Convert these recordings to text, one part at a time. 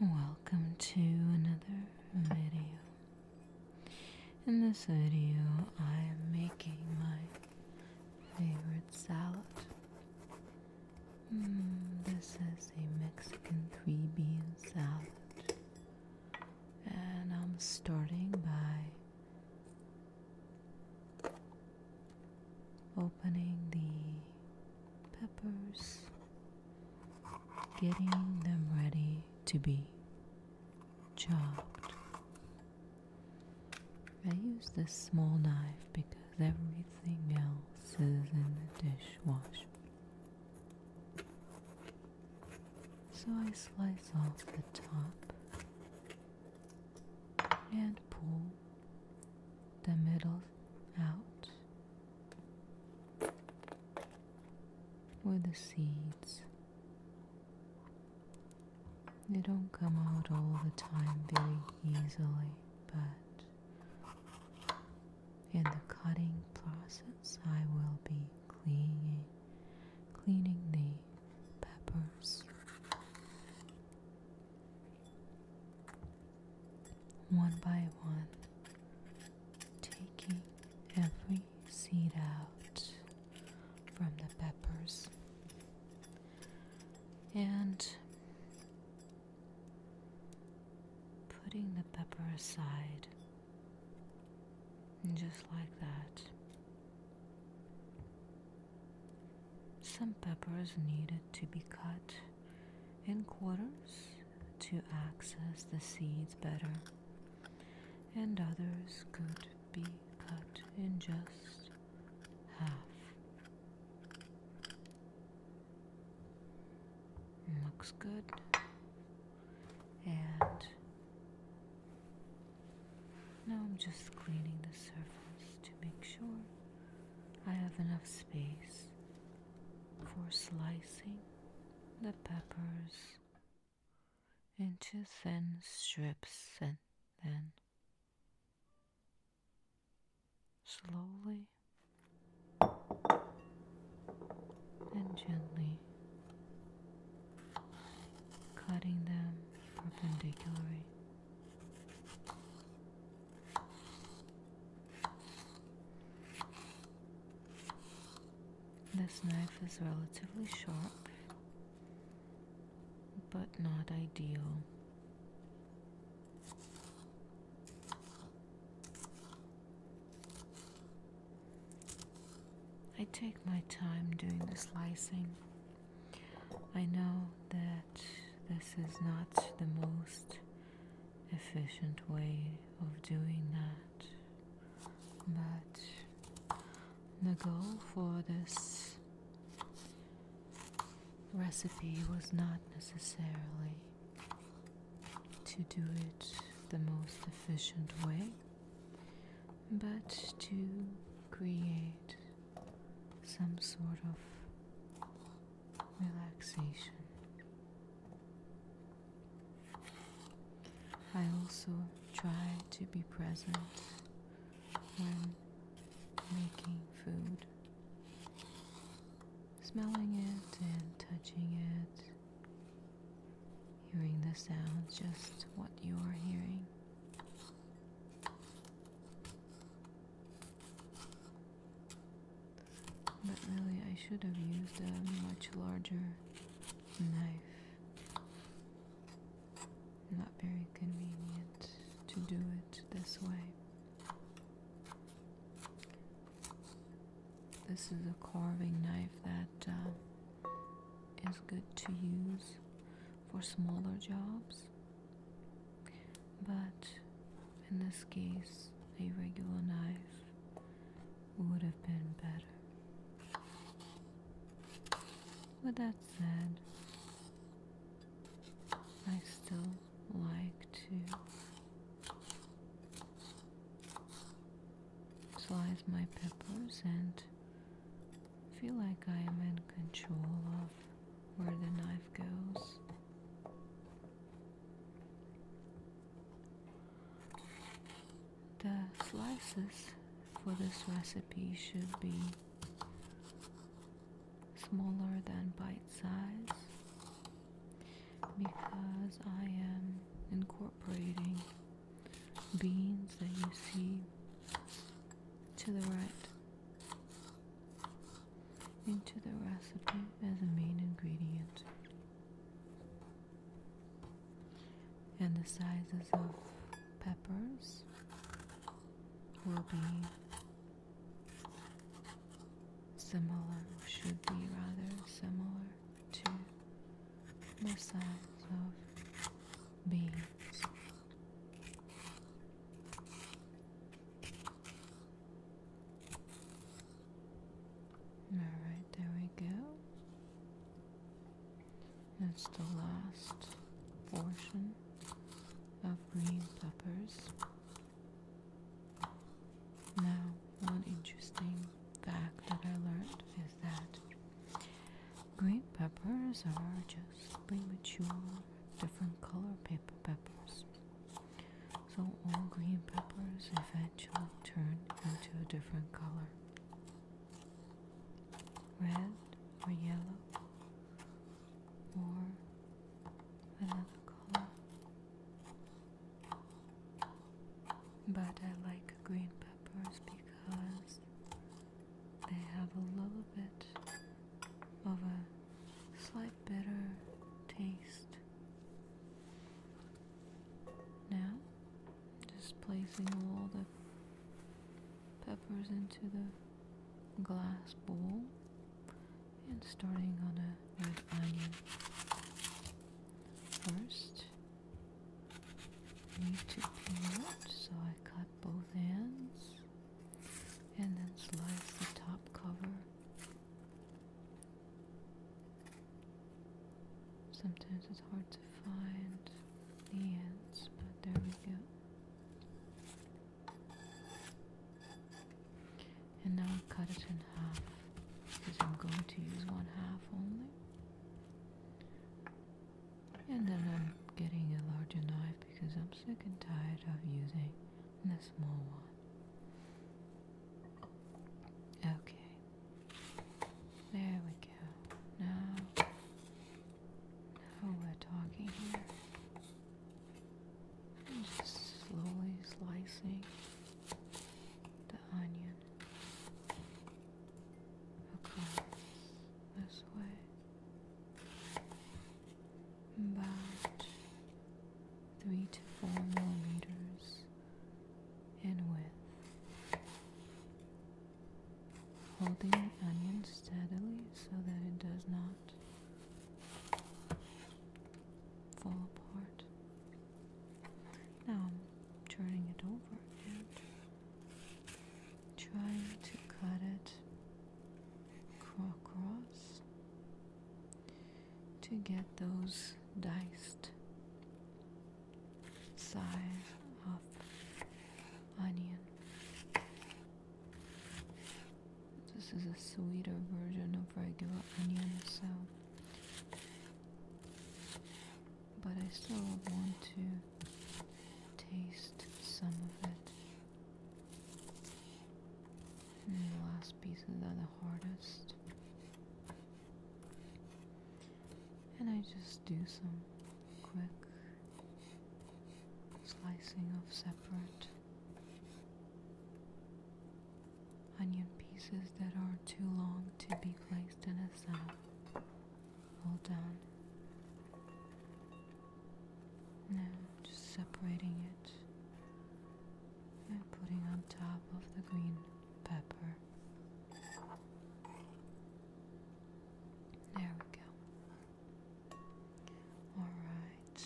Welcome to another video. In this video, I am making my favorite salad. Mm, this is a Mexican three bean salad, and I'm starting by opening the peppers, getting them ready to be chopped. I use this small knife because everything else is in the dishwasher. So I slice off the top and pull the middle out Where the seeds. They don't come out all the time very easily, but in the cutting process, I will be cleaning, cleaning the peppers one by one, taking every seed out from the peppers. And putting the pepper aside, just like that. Some peppers needed to be cut in quarters to access the seeds better, and others could be cut in just half. Looks good. And now I'm just cleaning the surface to make sure I have enough space for slicing the peppers into thin strips and then slowly and gently cutting them perpendicularly. This knife is relatively sharp, but not ideal. I take my time doing the slicing. I know that this is not the most efficient way of doing that, but the goal for this recipe was not necessarily to do it the most efficient way, but to create some sort of relaxation. I also try to be present when making food, smelling it and touching it, hearing the sounds just what you are hearing. But really, I should have used a much larger knife. Not very convenient to do it this way. This is a carving knife that uh, is good to use for smaller jobs but in this case a regular knife would have been better with that said I still like to slice my peppers and feel like I am in control of where the knife goes. The slices for this recipe should be smaller than bite size because I am incorporating beans that you see to the right into the recipe as a main ingredient. And the sizes of peppers will be similar, should be rather similar to the size of beans. Alright, there we go. That's the last portion of green peppers. Now, one interesting fact that I learned is that green peppers are just Premature, different color paper peppers. So all green peppers eventually turn into a different color. Red or yellow or another color. But I like green peppers because they have a little bit of a slight bitter taste. Now, just placing all the peppers into the glass bowl and starting on a red onion. First, need to peel it, so I cut both ends and then slice the top cover. Sometimes it's hard to find the ends, but there we go. And now i cut it in half because I'm going to use one half only. And then I'm getting a larger knife because I'm sick and tired of using the small one. Okay. There we go. Now, now we're talking here. just slowly slicing the onion across this way about three to four millimeters in width. Holding the onion steadily so that it does not fall apart. Now I'm turning it over and trying to cut it across to get those diced size of onion. This is a sweeter version of regular onion, so but I still want to taste some of it. And the last pieces are the hardest. And I just do some quick slicing of separate onion pieces that are too long to be placed in a salad. All done. Now just separating it and putting on top of the green pepper. There we go. Alright.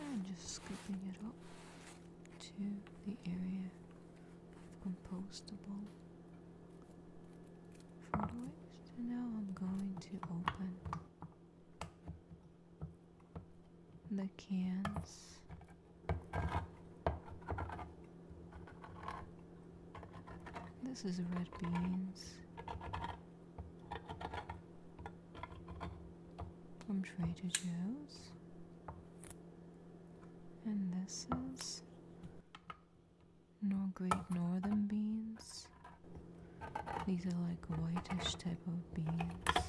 And just scooping it up to the area of compostable so now I'm going to open the cans. This is red beans from Trader Joe's, and this is nor great northern beans. These are like whitish type of beans.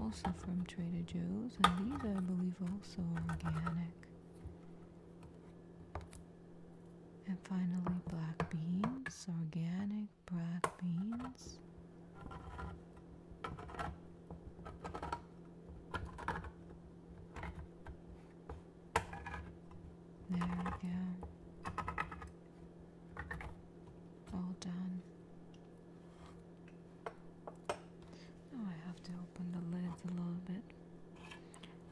Also from Trader Joe's, and these I believe also organic. And finally black beans, organic black beans. There we go. All done. Now I have to open the lids a little bit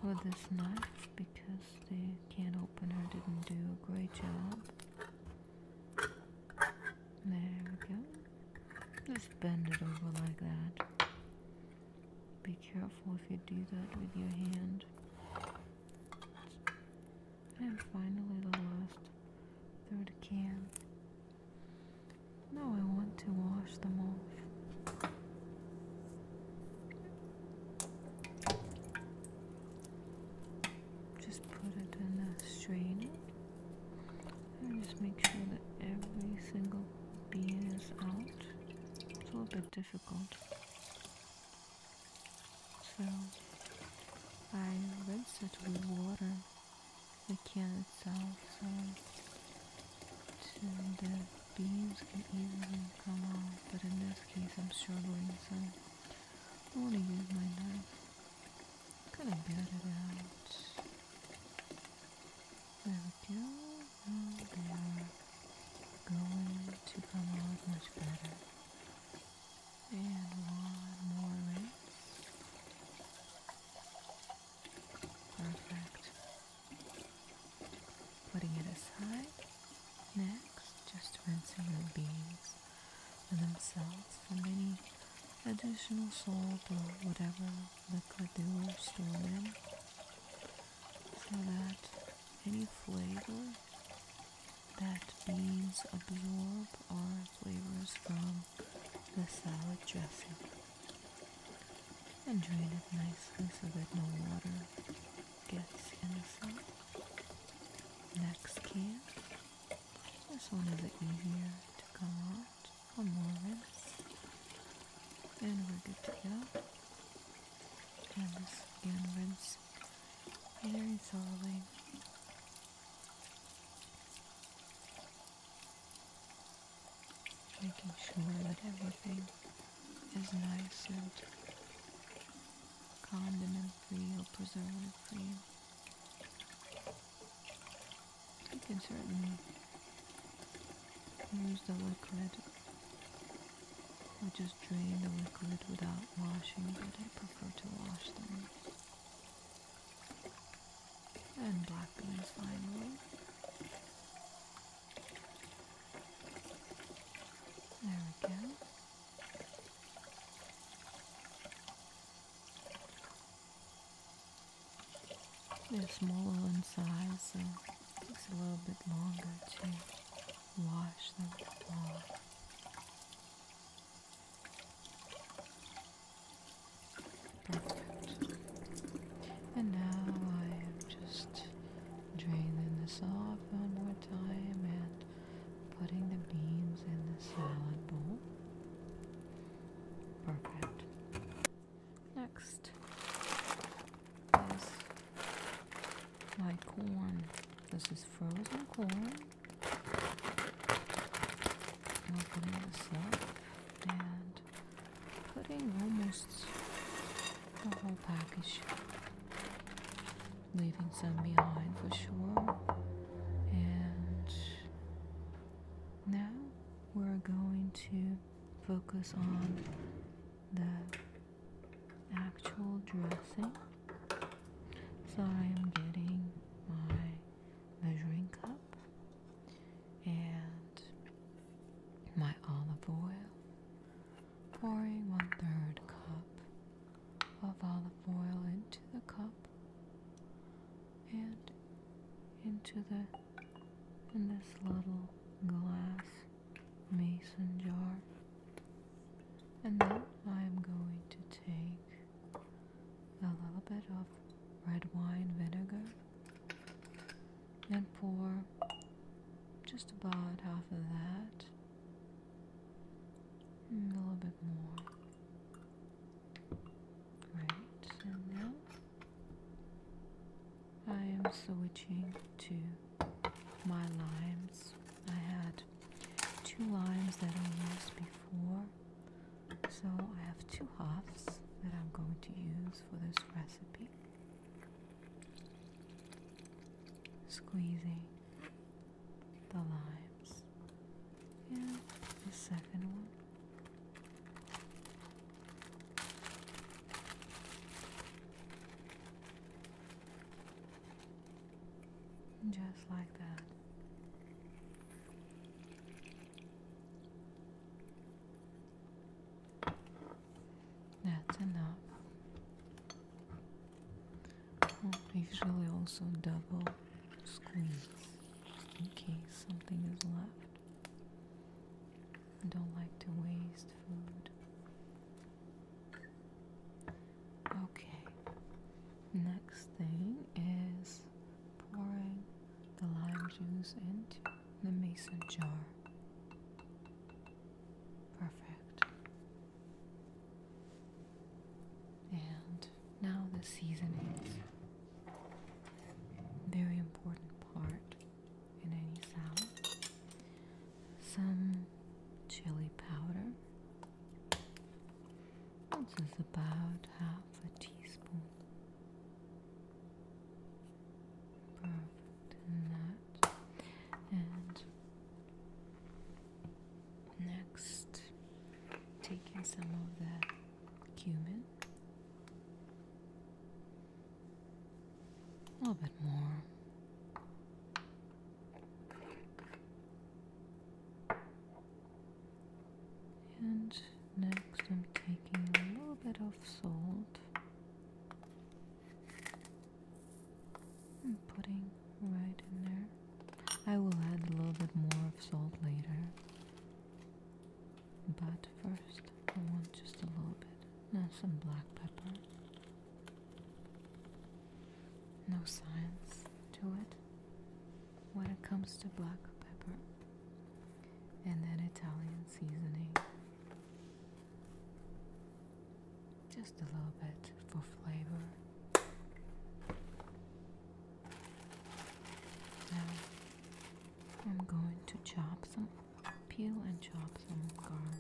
with this knife because they can not open. opener didn't do a great job. There we go. Just bend it over like that. Be careful if you do that with your hand. And finally, the last third can. Now I want to wash them off. Just put it in a strainer and just make sure that every single bean is out. So difficult. So I rinse it with water, the can itself, so the beans can easily come off. but in this case I'm struggling, so I want to use my knife. Kind of get it out. There we go they're going to come out much better. And one more rinse. Perfect. Putting it aside. Next, just rinsing the beads themselves from any additional salt or whatever liquid they were stored in so that any flavor that beans absorb are flavors from the salad dressing. And drain it nicely so that no water gets in the salad. Next can. This one is easier to come out, one more rinse, and we're good to go and this again rinse very thoroughly. Making sure that everything is nice and condiment free or preservative free. You can certainly Use the liquid I just drain the liquid without washing, but I prefer to wash them. And black beans finally. There we go. They're smaller in size, so it takes a little bit longer to wash them off. Perfect. And now I am just draining this off one more time and putting the beans in the salad bowl. Perfect. Next is my corn. This is frozen corn. Opening this up and putting almost the whole package, leaving some behind for sure. And now we're going to focus on the actual dressing. So I am getting my measuring cup and my olive oil, pouring one third cup of olive oil into the cup and into the in this little glass mason jar. And then I am going to take a little bit of red wine vinegar and pour just about half of that and a little bit more. Great, and now I am switching to my limes. I had two limes that I used before, so I have two halves that I'm going to use for this recipe. Squeezing the limes, and the second one. Just like that. That's enough. Oh, usually also double squeeze in case something is left. I don't like to waste food. Okay, next thing is pouring the lime juice into the mason jar. Perfect. And now the seasonings. Very important part in some chili powder. This is about half a teaspoon. Perfect in that. And next, taking some of the cumin. A little bit more. And next, I'm taking a little bit of salt and putting right in there. I will add a little bit more of salt later. But first, I want just a little bit. And some black pepper. No science to it when it comes to black pepper. And then Italian seasoning. Just a little bit for flavor. Now, I'm going to chop some, peel and chop some garlic.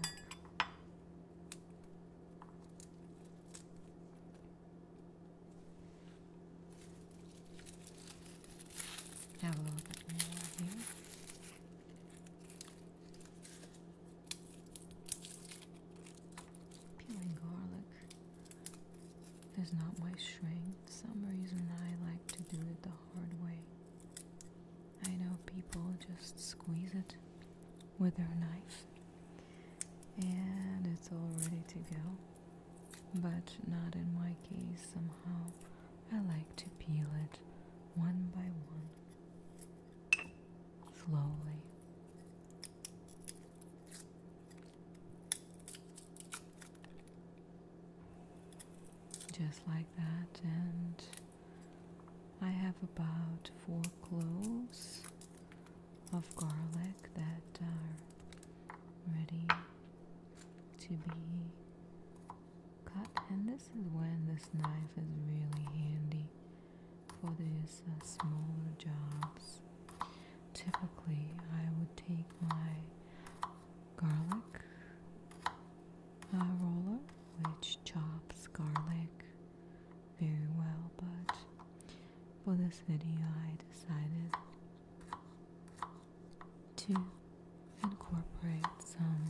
Have a look at more here. Peeling garlic is not my strength. some reason I like to do it the hard way. I know people just squeeze it with their knife and it's all ready to go, but not in my case. Somehow I like to peel it one by one, slowly just like that and I have about four cloves of garlic that are ready to be cut and this is when this knife is really handy for these uh, smaller jobs typically I would take my garlic roller, which chops garlic very well, but for this video, I decided to incorporate some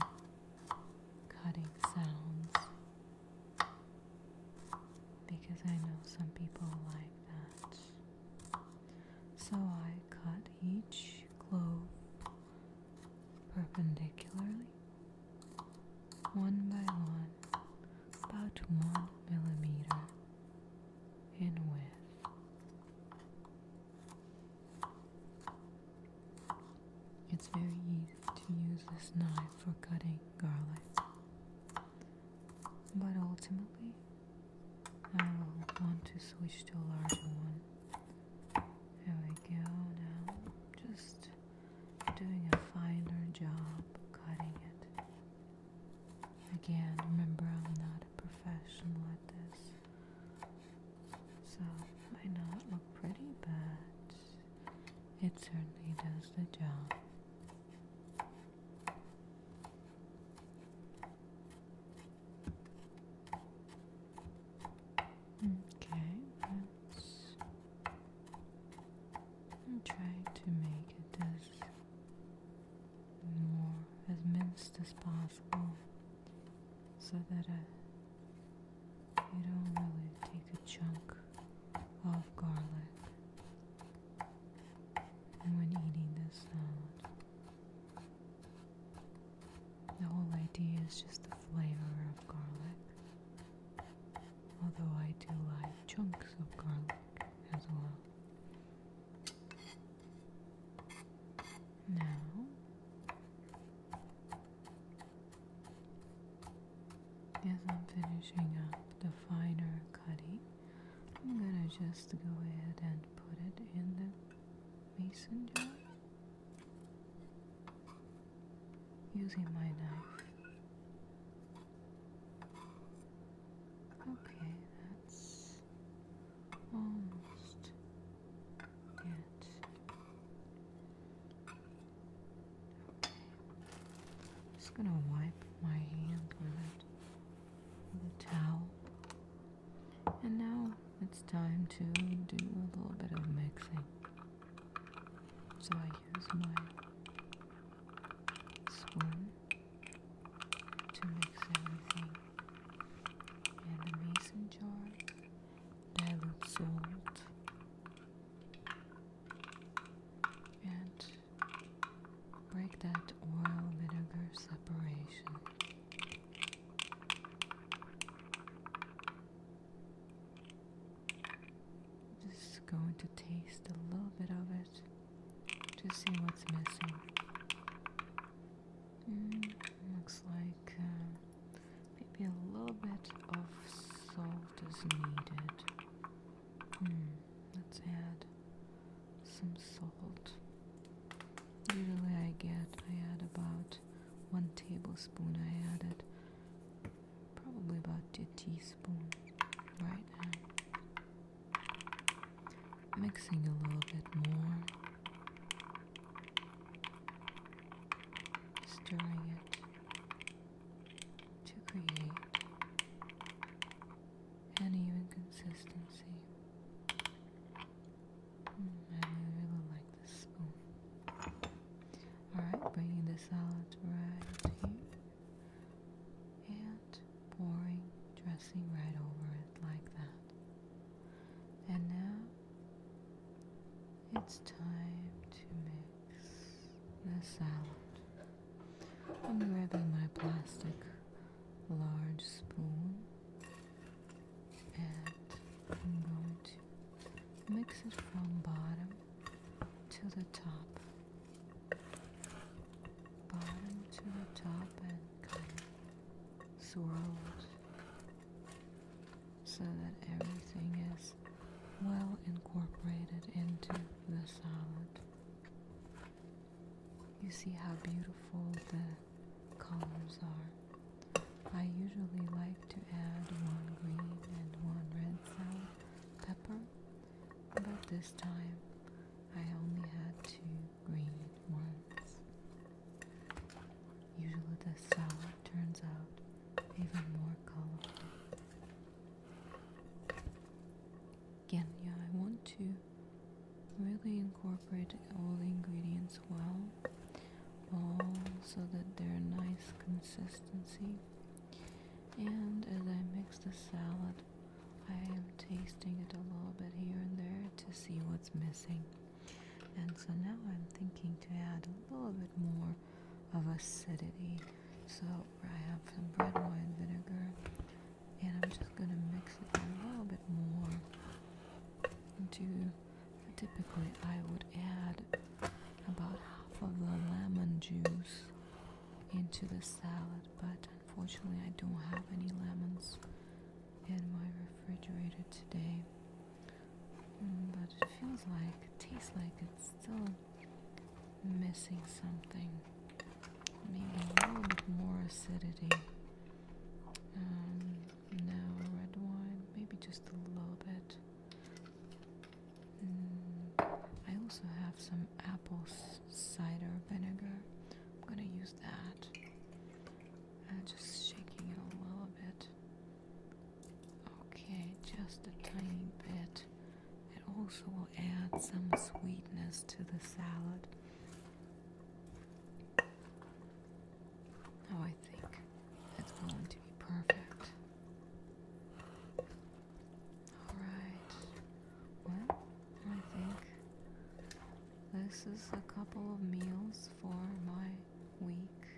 cutting sounds because I know some people like that. So I cut each clove perpendicularly, one by one, about one millimeter in width. It's very easy to use this knife for cutting garlic, but ultimately I will want to switch to a larger one. There we go now. Just doing a finer job cutting it. Again, remember I'm not a professional at this. So it might not look pretty, but it certainly does the job. Okay, I'm trying to make it as more as minced as possible so that it don't really take a chunk of garlic. And when eating this salad, the whole idea is just the flavor of garlic. Although I do like chunks of garlic as well. Now, as I'm finishing up the finer cutting, I'm gonna just go ahead and put it in the mason jar using my knife. Okay, that's almost it. just gonna wipe my hand with it with a towel. And now it's time to do a little bit of mixing. So I use my spoon to mix everything. And the mason jar, dilute salt, and break that oil vinegar separation. Just going to taste a little bit of it to see what's missing. Mm, looks like uh, maybe a little bit of salt is needed. Hmm, let's add some salt. Usually I get, I add about one tablespoon, I added probably about two teaspoons, right Mixing a little bit more, stirring it to create and even consistency. Mm, I really, like this spoon. Alright, bringing the salad right here and pouring dressing right over it like that. And now it's time to mix the salad. I'm grabbing my plastic large spoon and I'm going to mix it from bottom to the top bottom to the top and kind of swirl it so that everything is well incorporated into the salad you see how beautiful the colors are. I usually like to add one green and one red salt pepper, but this time I only had two green ones. Usually the salad turns out even more colorful again, yeah, I want to really incorporate all the ingredients well, so that they're nice consistency. And as I mix the salad, I am tasting it a little bit here and there to see what's missing. And so now I'm thinking to add a little bit more of acidity. So I have some red wine vinegar and I'm just going to mix it a little bit more into typically I would add about half of the lemon juice into the salad but unfortunately I don't have any lemons in my refrigerator today mm, but it feels like tastes like it's still missing something maybe a little bit more acidity. Um, no red wine, maybe just a little bit. Mm, I also have some apple cider vinegar. I'm gonna use that. Uh, just shaking it a little bit. Okay, just a tiny bit. It also will add some sweetness to the salad. Oh, I think that's going to be perfect. Alright. Well, I think this is a couple of meals for my week.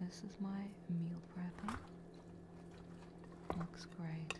This is my meal prepping. Looks great.